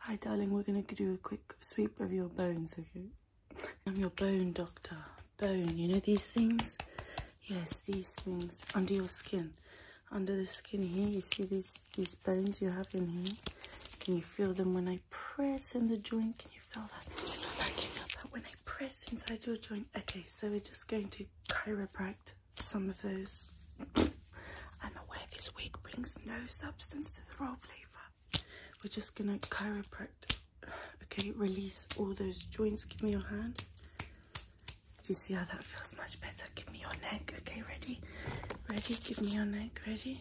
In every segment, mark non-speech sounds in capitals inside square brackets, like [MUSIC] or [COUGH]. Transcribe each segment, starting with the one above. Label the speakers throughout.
Speaker 1: Hi darling, we're going to do a quick sweep of your bones, okay? I'm your bone doctor. Bone, you know these things? Yes, these things under your skin. Under the skin here, you see these, these bones you have in here? Can you feel them when I press in the joint? Can you feel that? Can you feel that when I press inside your joint? Okay, so we're just going to chiropract some of those. I'm aware this wig brings no substance to the raw flavour. We're just gonna chiropract. Okay, release all those joints. Give me your hand. Do you see how that feels much better? Give me your neck. Okay, ready? Ready? Give me your neck. Ready?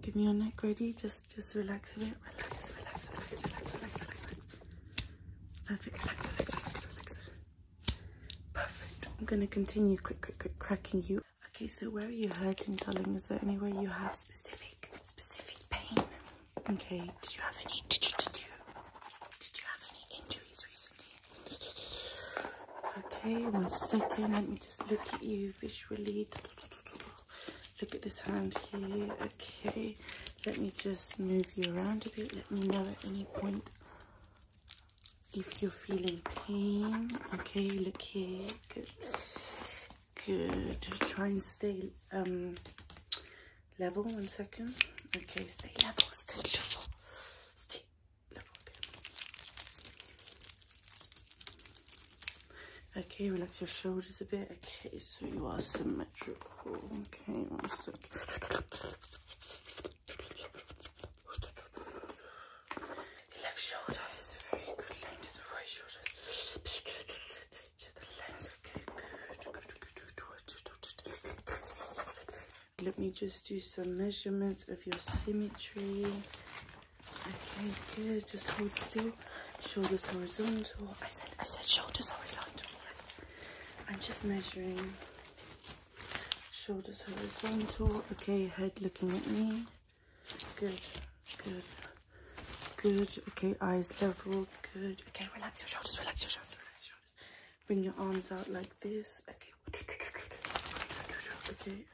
Speaker 1: Give me your neck. Ready? Just just relax a bit. Relax, relax, relax, relax, relax, relax. Perfect. Relax, relax, relax, relax. Perfect. I'm gonna continue quick, quick, quick cracking you Okay, so where are you hurting, darling? Is there anywhere you have specific, specific pain? Okay, did you have any? Did you? Did you? Did you have any injuries recently? Okay, one second. Let me just look at you visually. Look at this hand here. Okay, let me just move you around a bit. Let me know at any point if you're feeling pain okay look here good try and stay um level one second okay stay level stay level stay level okay, relax your shoulders a bit okay so you are symmetrical okay let me just do some measurements of your symmetry. Okay, good, just hold still. Shoulders horizontal. I said, I said shoulders horizontal. I'm just measuring Shoulders horizontal. Okay, head looking at me. Good, good, good. Okay, eyes level. Good. Okay, relax your shoulders, relax your shoulders, relax your shoulders. Bring your arms out like this. Okay. Okay.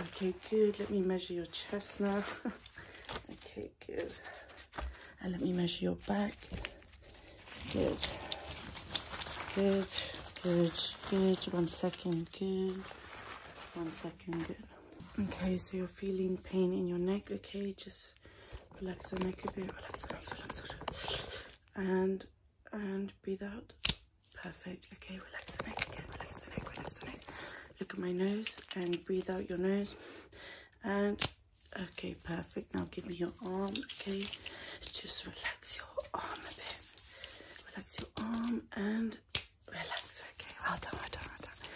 Speaker 1: Okay, good. Let me measure your chest now. [LAUGHS] okay, good. And let me measure your back. Good. Good. Good. Good. One second. Good. One second. Good. Okay, so you're feeling pain in your neck. Okay, just relax the neck a bit. Relax, relax, relax, And and breathe out. Perfect. Okay, relax the neck again. Relax the neck. Relax the neck. Look at my nose and breathe out your nose. And okay, perfect. Now give me your arm, okay? Just relax your arm a bit. Relax your arm and relax, okay? Well done, well done, well done.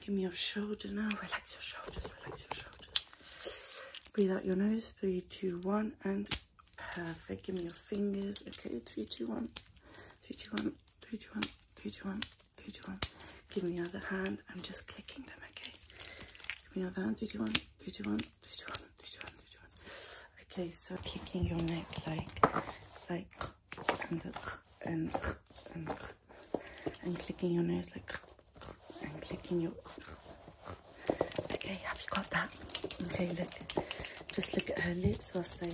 Speaker 1: Give me your shoulder now. Relax your shoulders, relax your shoulders. Breathe out your nose. Three, two, one, and perfect. Give me your fingers, okay? Three, two, one. Three, two, one. Three, two, one. Three, two, one. Three, two, one. Give me the other hand. I'm just clicking them, okay? Give me the other hand. Three, two, one. Three, two, one. Did you run? Did you run? Did you run? Okay, so kicking your neck like, like, and, and, and, and clicking your nose like, and clicking your. Okay, have you got that? Okay, look. Just look at her lips whilst I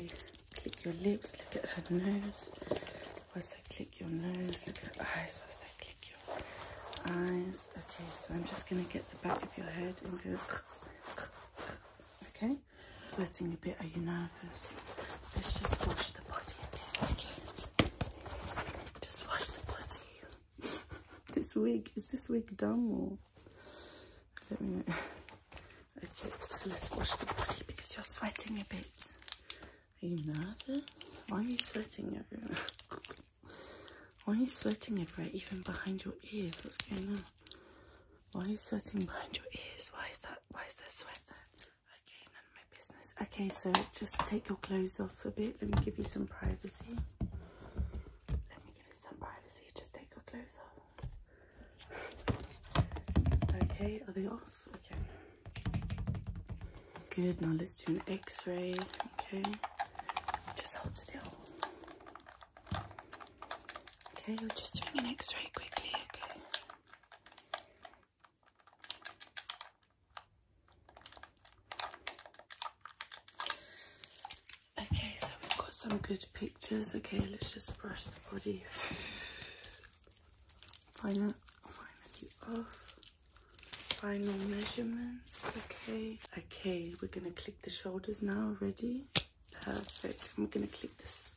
Speaker 1: click your lips. Look at her nose whilst I click your nose. Look at her eyes whilst I click your eyes. Okay, so I'm just going to get the back of your head and go. Okay, sweating a bit. Are you nervous? Let's just wash the body a Okay, just wash the body. [LAUGHS] this wig is this wig dumb or? Let me know. [LAUGHS] Okay, so let's wash the body because you're sweating a bit. Are you nervous? Why are you sweating everywhere? [LAUGHS] Why are you sweating everywhere, even behind your ears? What's going on? Why are you sweating behind your ears? Why is that? Why is there sweat Okay, none of my business. Okay, so just take your clothes off a bit. Let me give you some privacy. Let me give you some privacy. Just take your clothes off. Okay, are they off? Okay. Good, now let's do an x-ray, okay? Just hold still. Okay, we're just doing an x-ray quickly, okay? Okay, so we've got some good pictures. Okay, let's just brush the body. Finally, finally off. Final measurements, okay. Okay, we're gonna click the shoulders now, ready? Perfect, I'm gonna click this,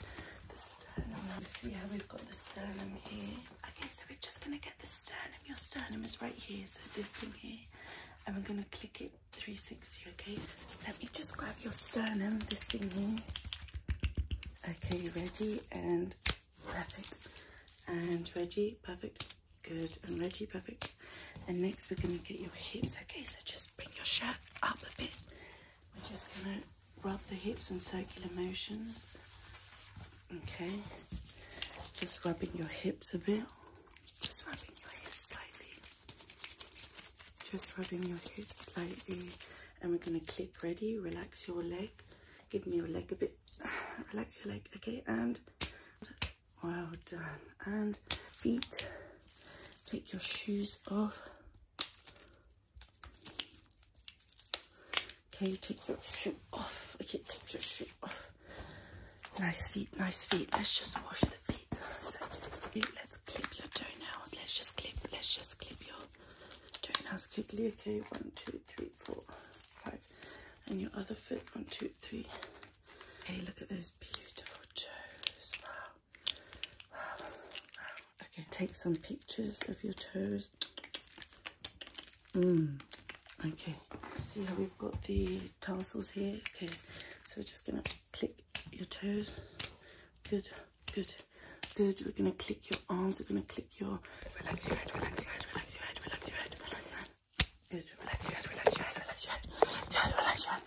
Speaker 1: the sternum. see how we've got the sternum here? Okay, so we're just gonna get the sternum. Your sternum is right here, so this thing here. And we're gonna click it 360, okay? Let me just grab your sternum, this thing here. Okay, ready and perfect. And ready, perfect. Good. And ready, perfect. And next we're going to get your hips. Okay, so just bring your shirt up a bit. We're just going to rub the hips in circular motions. Okay. Just rubbing your hips a bit. Just rubbing your hips slightly. Just rubbing your hips slightly. And we're going to click ready. Relax your leg. Give me your leg a bit. [SIGHS] Relax your leg. Okay. And well done. And feet, take your shoes off. Okay, take your shoe off. Okay, take your shoe off. Nice feet, nice feet. Let's just wash the feet. let's clip your toenails. Let's just clip, let's just clip your toenails quickly. Okay, one, two, three, four, five, and your other foot. One, two, three. Hey, look at those beautiful toes. Wow. Wow. Wow. Okay, take some pictures of your toes. Mm. Okay. See how we've got the tassels here? Okay, so we're just gonna click your toes. Good, good, good. We're gonna click your arms, we're gonna click your relax your head, relax your head, relax your head, relax your head, relax your head. Good. Relax, relax, relax, relax, relax, relax, relax, relax.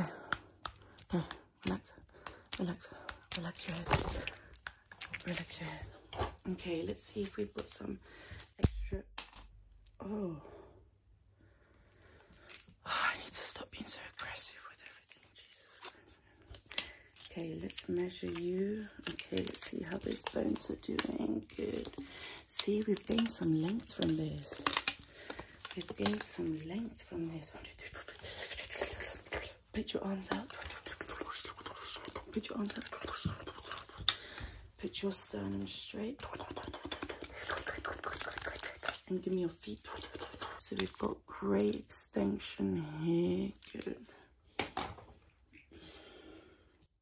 Speaker 1: Okay. Okay. Relax. Relax. Relax your head. Relax your head. Okay, let's see if we've got some extra. Oh. oh I need to stop being so aggressive with everything. Jesus. Okay, let's measure you. Okay, let's see how these bones are doing. Good. See, we've gained some length from this. We've gained some length from this. Put your arms out. Put your arms out. Put your sternum straight. And give me your feet. So we've got great extension here. Good.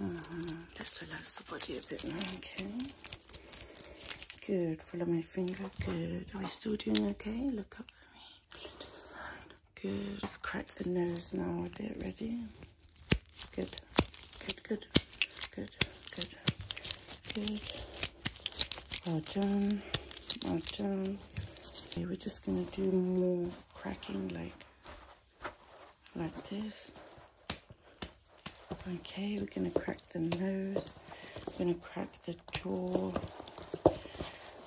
Speaker 1: Uh Just relax the body a bit now, okay? Good. Follow my finger. Good. Are we still doing okay? Look up at me. Good. Let's crack the nose now a bit. Ready? Good. Good, good. Good, good. Good. Well done. Well done. Okay, we're just going to do more cracking like like this. Okay, we're going to crack the nose, we're going to crack the jaw.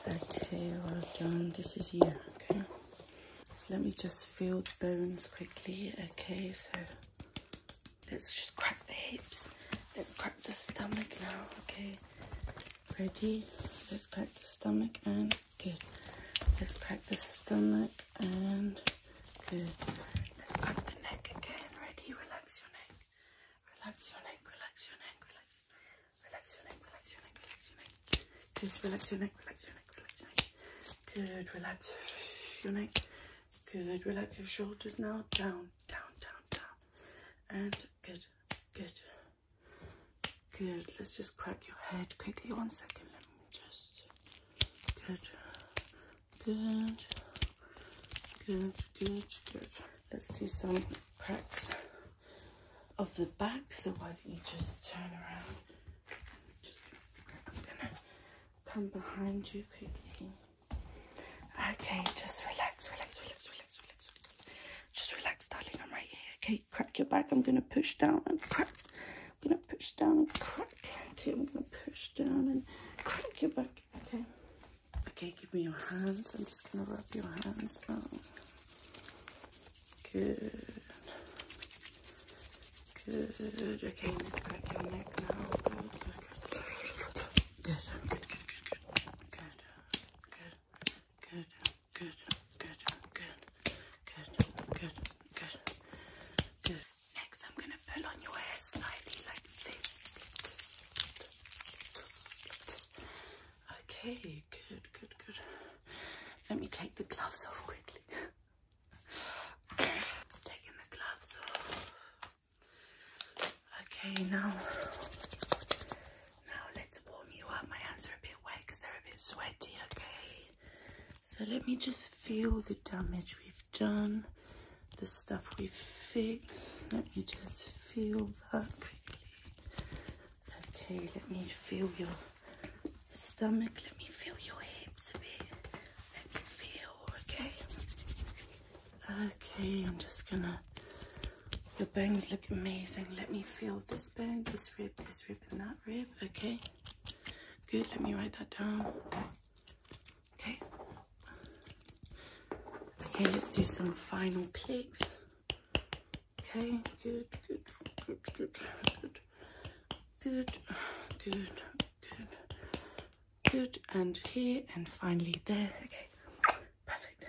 Speaker 1: Okay, well done. This is you, okay? So let me just feel the bones quickly. Okay, so let's just crack the hips. Let's crack the stomach now, okay? Ready? Let's crack the stomach and Good. Let's crack the stomach and good. Let's crack the neck again. Ready? Relax your neck. Relax your neck. Relax your neck. Relax. Relax your neck. Relax your neck. Relax your neck. Good. Relax your neck. Relax your neck. Relax your neck. Good. Relax your neck. Good. Relax your shoulders now. Down. Down. Down. Down. And good. Good. Good. Let's just crack your head quickly. One second. Let me just. Good. Good. Good. Good. Good. Let's do some cracks of the back. So why don't you just turn around? Just I'm gonna come behind you quickly. Okay. Just relax. Relax. Relax. Relax. Relax. relax. Just relax, darling. I'm right here. Okay, crack your back. I'm gonna push down and crack. I'm gonna push down and crack. Okay, I'm gonna push down and crack your back. Okay. Okay, give me your hands. I'm just gonna rub your hands now. Good. Good. Okay, let's crack your neck now. Good, good, good. Good, good, good, good, good. Good, good, good good, good, good, good, good, good, good. Next, I'm gonna pull on your hair slightly like this. Okay, good, good, good. Let me take the gloves off quickly. taking the gloves off. Okay, now now let's warm you up. My hands are a bit wet because they're a bit sweaty, okay? So let me just feel the damage we've done, the stuff we've fixed. Let me just feel that quickly. Okay, let me feel your stomach. Let me feel your hips a bit. Let me feel, okay? Okay, I'm just gonna your bones look amazing. Let me feel this bone, this rib, this rib, and that rib. Okay. Good. Let me write that down. Okay. Okay, let's do some final pegs. Okay, good, good, good, good, good, good, good, good, good, and here, and finally there. Okay, perfect.